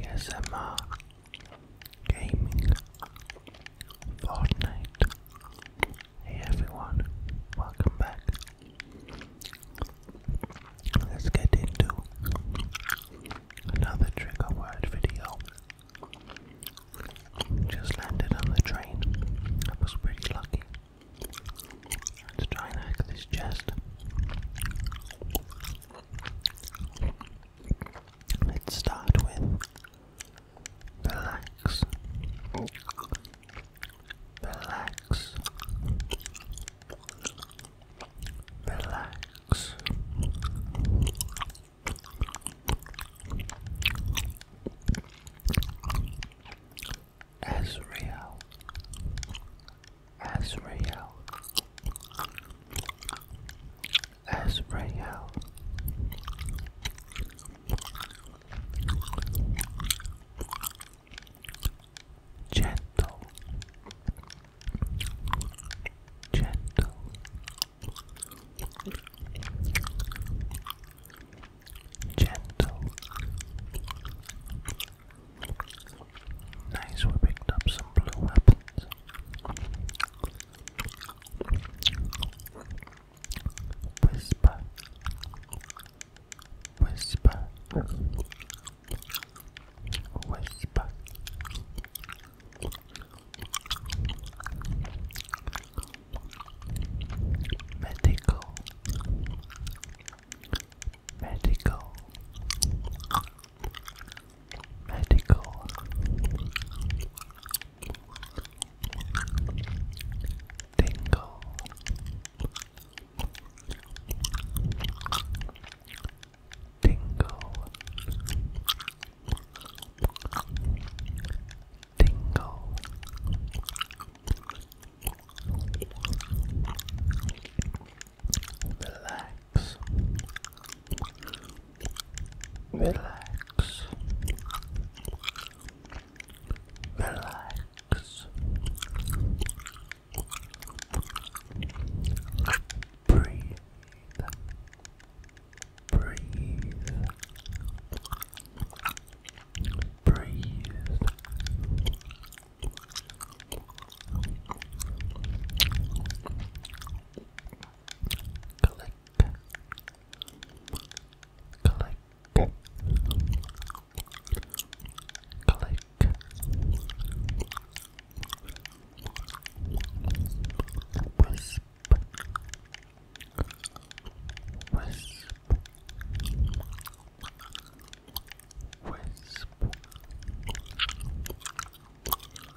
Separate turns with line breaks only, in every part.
ASMR Gaming Fortnite. Hey everyone, welcome back. Let's get into
another trigger word video. Just landed on the train. I was pretty lucky. Let's try and hack this chest. Let's start with relax, relax, relax. Ezreal Azrael, real, gentle, gentle. Gentle,
Nice, we picked up some blue weapons. Whisper. Whisper. Whisper. Medical. Medical medical tingle tingle tingle relax relax, relax, breathe, breathe, breathe click, click, click. Wisp, wisp, wisp,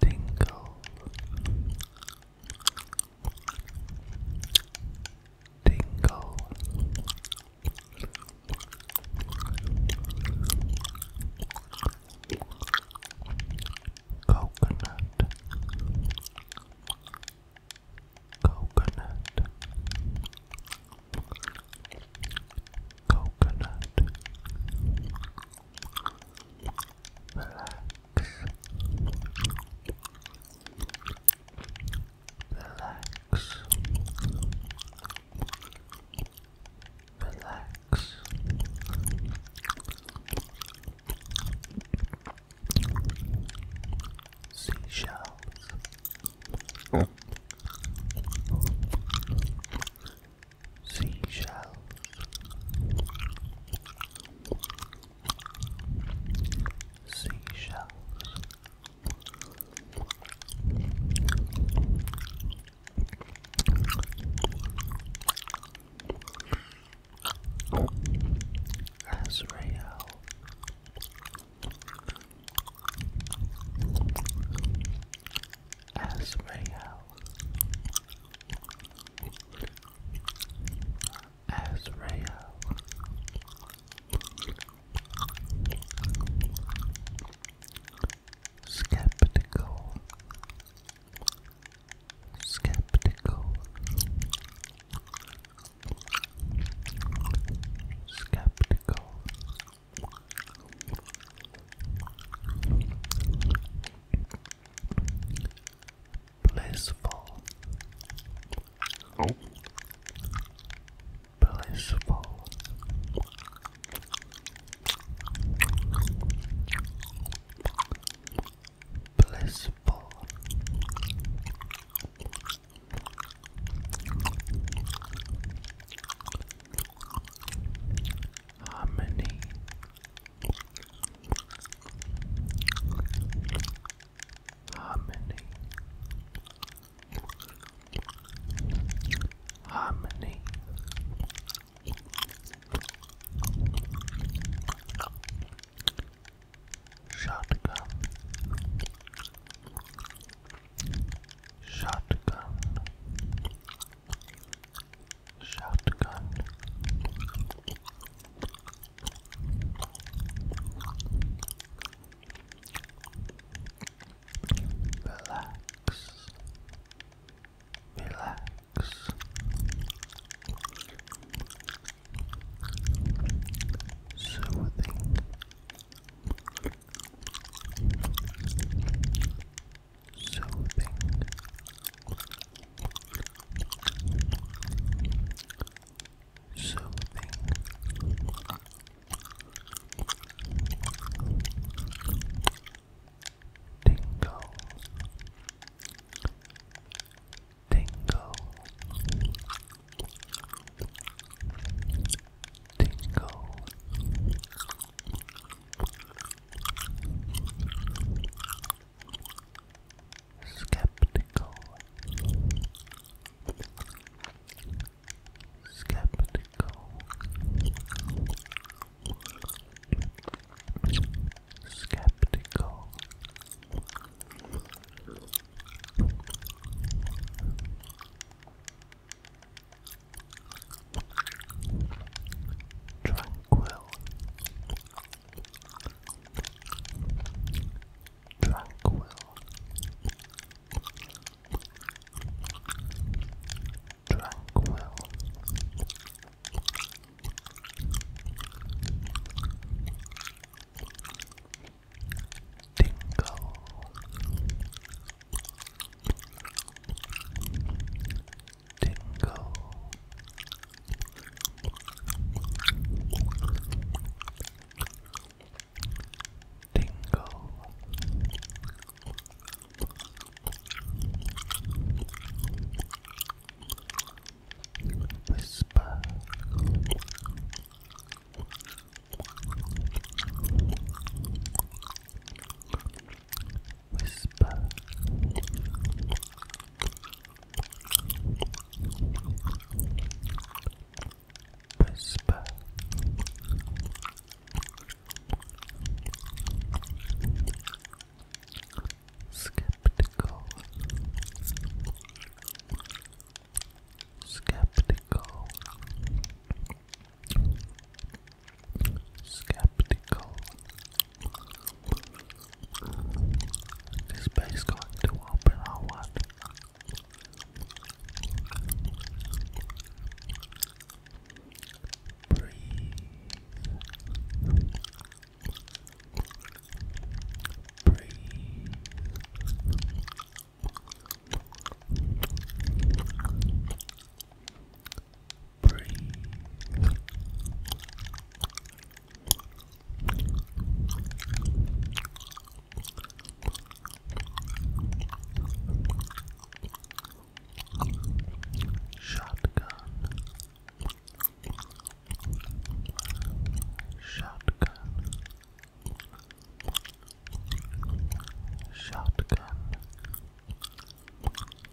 Tingle. Tingle. Coconut.
Coconut. Coconut relax, relax, relax. Seashells. Oh seashells. Seashells. Azrael. Azrael, Azrael, skeptical, skeptical, skeptical blissful, oh. blissful. Blissful, harmony, Harmony. Harmony. Shotgun. Shotgun. Shotgun. Relax. Relax. Soothing soothing. Soothing. Tingle. Tingle. Tingle. Skeptical. Skeptical. Skeptical. Tranquil. Tranquil. Tranquil. Tingle tingle. Tingle. Whisper. Whisper. Whisper. Skeptical. Skeptical skeptical. This base going to open or what? Breathe. Breathe. Shotgun, shotgun, shotgun,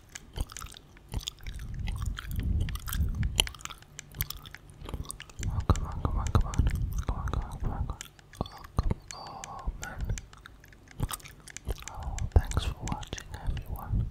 come on, come on, come on. Come on, come on, come on, come on. Oh, come man. Oh, thanks for watching, everyone.